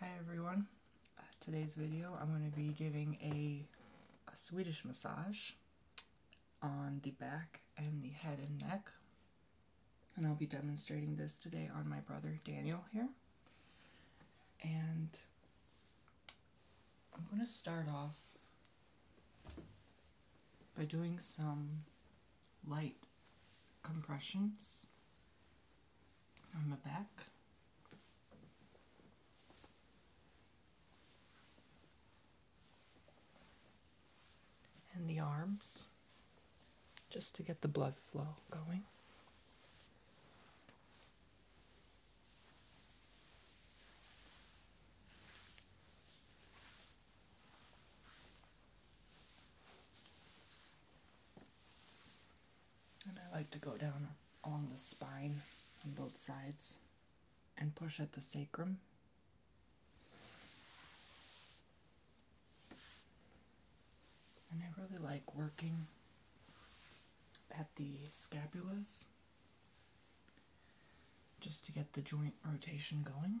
Hi everyone. Uh, today's video I'm going to be giving a, a Swedish massage on the back and the head and neck. And I'll be demonstrating this today on my brother Daniel here. And I'm going to start off by doing some light compressions on the back. And the arms, just to get the blood flow going. And I like to go down along the spine on both sides and push at the sacrum. And I really like working at the scapulas just to get the joint rotation going.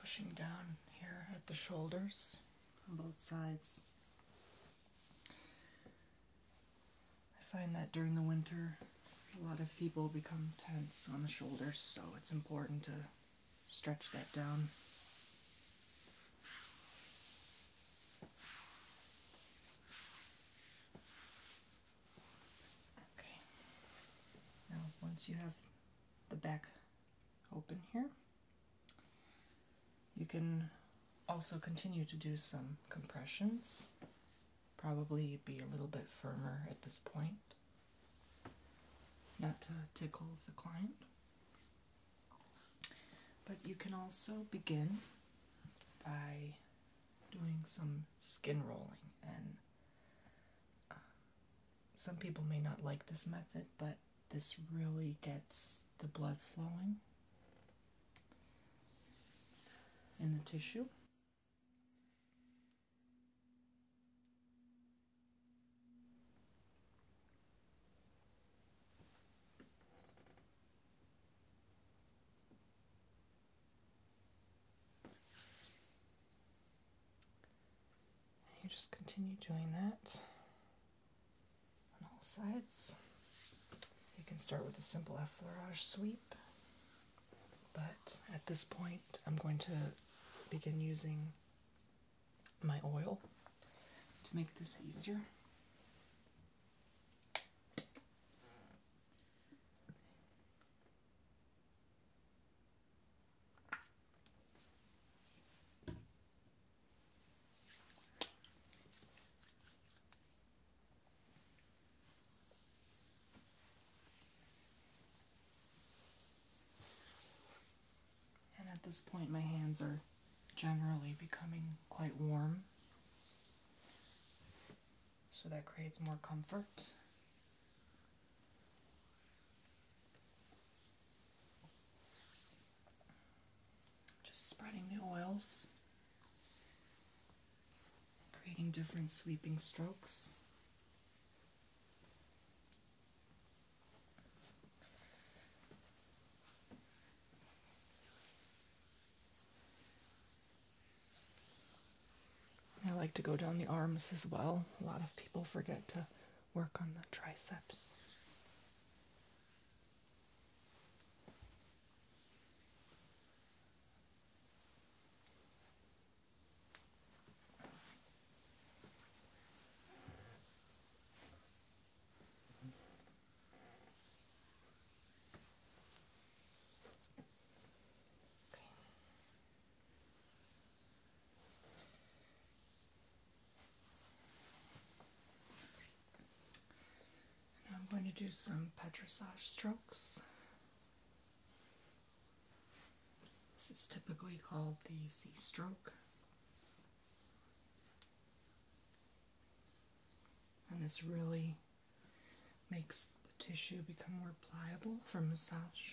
pushing down here at the shoulders on both sides. I find that during the winter, a lot of people become tense on the shoulders, so it's important to stretch that down. Okay. Now, once you have the back open here. You can also continue to do some compressions, probably be a little bit firmer at this point, not to tickle the client. But you can also begin by doing some skin rolling and uh, some people may not like this method, but this really gets the blood flowing in the tissue. And you just continue doing that on all sides. You can start with a simple effleurage sweep, but at this point, I'm going to begin using my oil to make this easier. And at this point, my hands are generally becoming quite warm, so that creates more comfort. Just spreading the oils, creating different sweeping strokes. I like to go down the arms as well. A lot of people forget to work on the triceps. I'm going to do some petrissage strokes. This is typically called the Z stroke. And this really makes the tissue become more pliable for massage.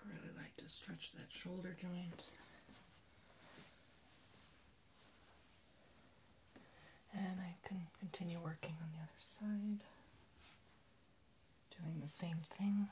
I really like to stretch that shoulder joint. And I can continue working on the other side, doing the same thing.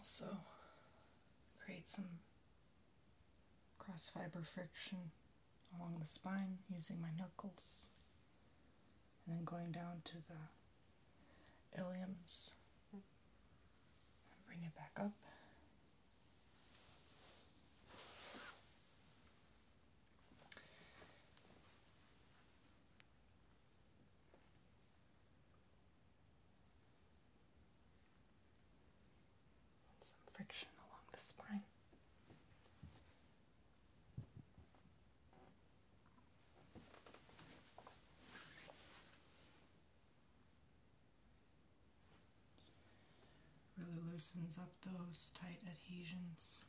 Also, create some cross fiber friction along the spine using my knuckles and then going down to the iliums bring it back up and some friction along the spine. Really loosens up those tight adhesions.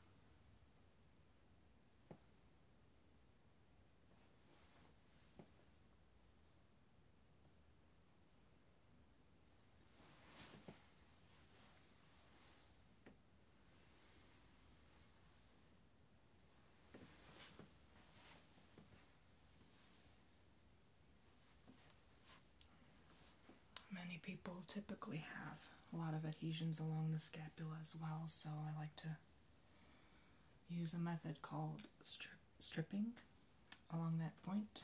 Many people typically have a lot of adhesions along the scapula as well, so I like to use a method called strip stripping along that point.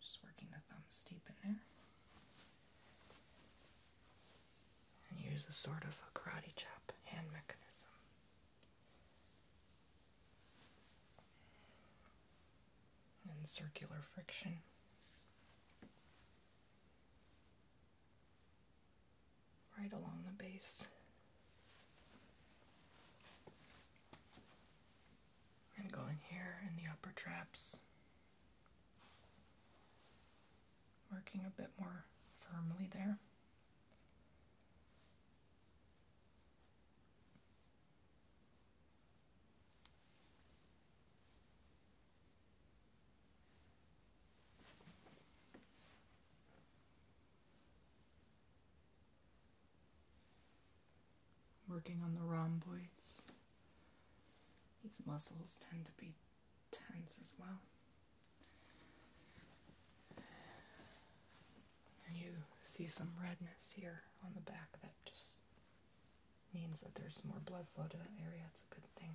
Just working the thumbs deep in there. And use a sort of a karate chop hand mechanism. And circular friction right along the base. And going here in the upper traps, working a bit more firmly there. Working on the rhomboids. These muscles tend to be tense as well. you see some redness here on the back that just means that there's more blood flow to that area. It's a good thing.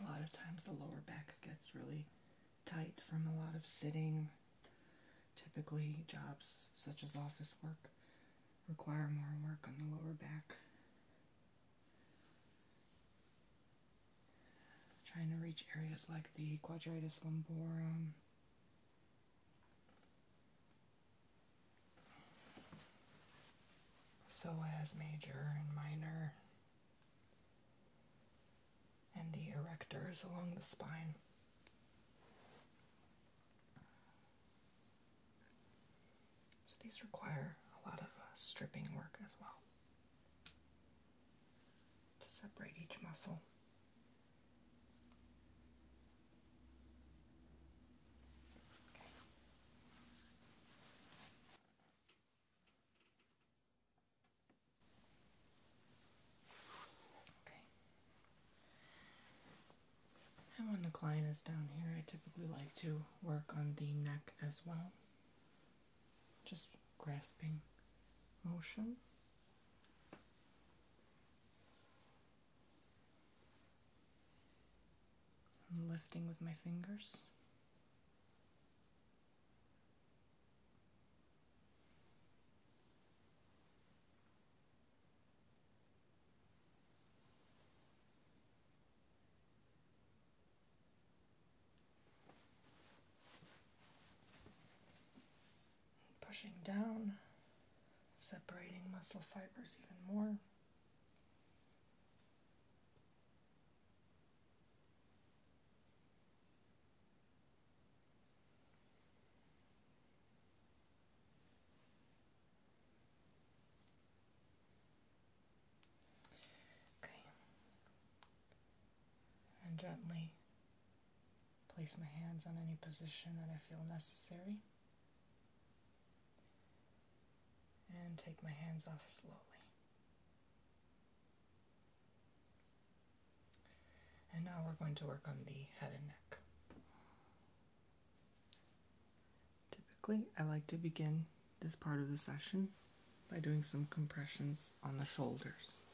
A lot of times the lower back gets really tight from a lot of sitting. Typically, jobs such as office work require more work on the lower back. Trying to reach areas like the quadratus lumborum, so as major and minor and the erectors along the spine. So these require a lot of uh, stripping work as well to separate each muscle. Okay. And when the client is down here, I typically like to work on the neck as well. Just grasping motion. I'm lifting with my fingers. Pushing down separating muscle fibers even more. Okay, and gently place my hands on any position that I feel necessary and take my hands off slowly. And now we're going to work on the head and neck. Typically, I like to begin this part of the session by doing some compressions on the shoulders.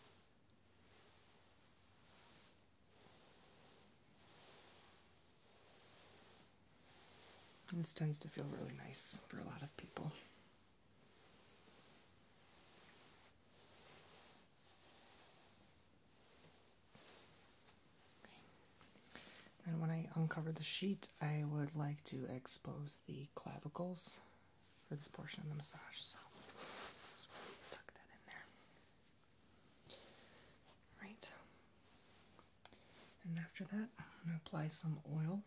This tends to feel really nice for a lot of people. And when I uncover the sheet, I would like to expose the clavicles for this portion of the massage. So, just tuck that in there. Right. And after that, I'm going to apply some oil.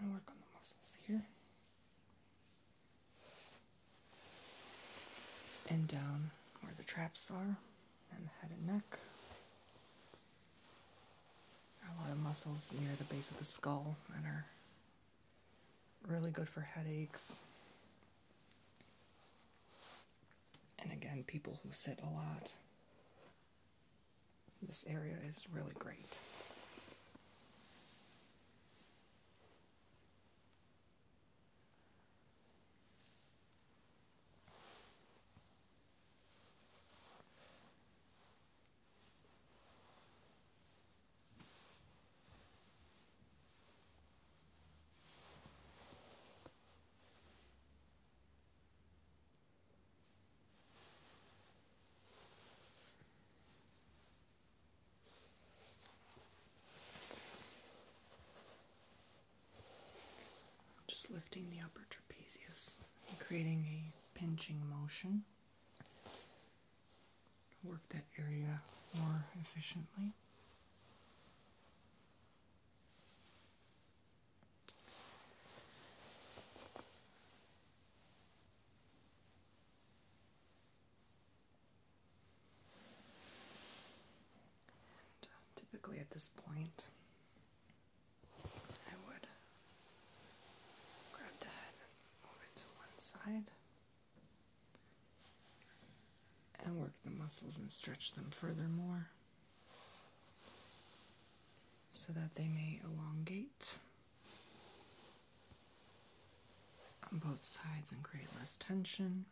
i work on the muscles here. And down where the traps are, and the head and neck a lot of muscles near the base of the skull and are really good for headaches. And again, people who sit a lot, this area is really great. Just lifting the upper trapezius creating a pinching motion work that area more efficiently. Uh, typically at this point, I would grab that, move it to one side, and work the muscles and stretch them furthermore so that they may elongate on both sides and create less tension.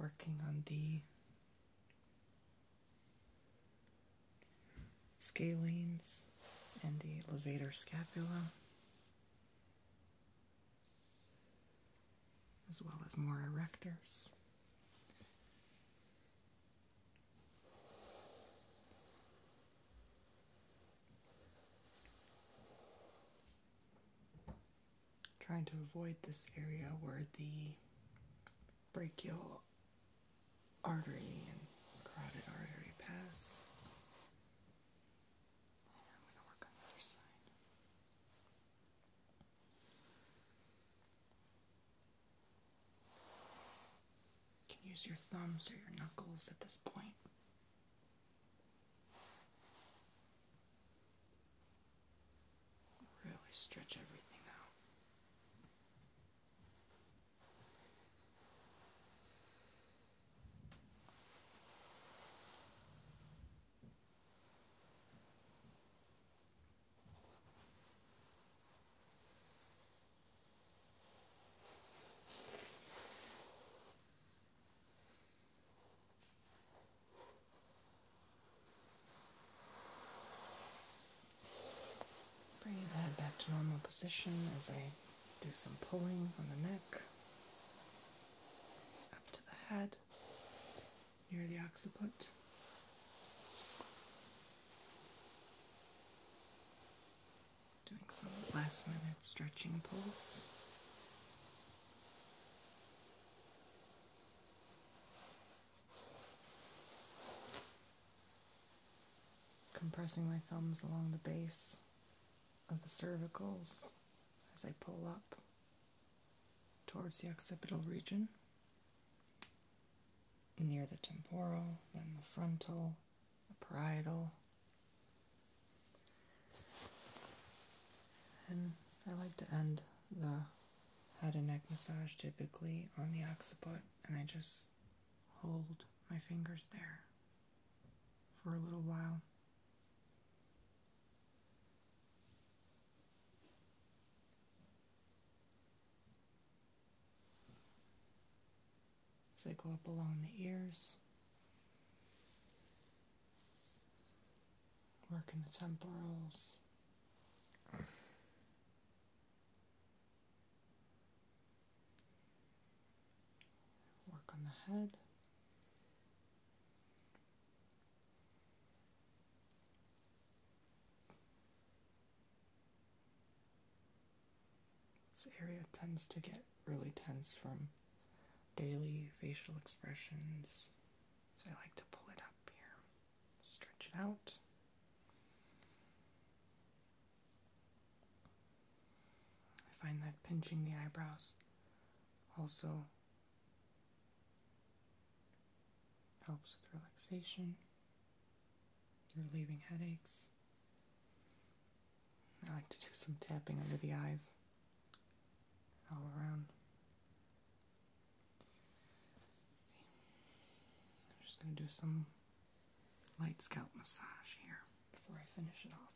Working on the scalenes and the levator scapula, as well as more erectors trying to avoid this area where the brachial artery and carotid artery pass. I'm going to work on the other side. You can use your thumbs or your knuckles at this point. Really stretch everything out. Bring your head back to normal position as I do some pulling on the neck, up to the head, near the occiput. Doing some last minute stretching pulls. Compressing my thumbs along the base of the cervicals as I pull up towards the occipital region, near the temporal, then the frontal, the parietal. And I like to end the head and neck massage typically on the occiput, and I just hold my fingers there for a little while. As I go up along the ears, Work in the temporals. Work on the head. This area tends to get really tense from daily facial expressions. So I like to pull it up here, stretch it out. I find that pinching the eyebrows also helps with relaxation, relieving headaches. I like to do some tapping under the eyes all around. I'm just going to do some light scalp massage here before I finish it off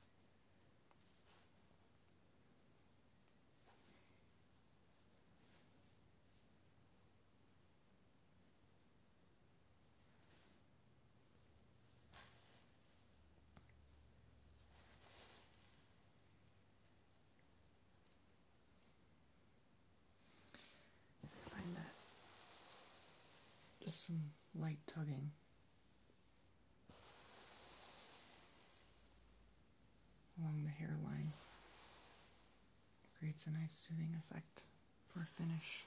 just some light tugging. Along the hairline creates a nice soothing effect for a finish.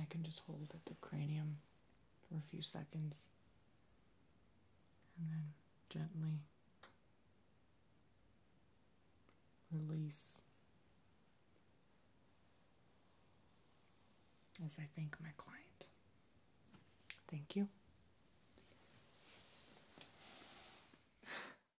I can just hold at the cranium for a few seconds and then gently release as I thank my client. Thank you.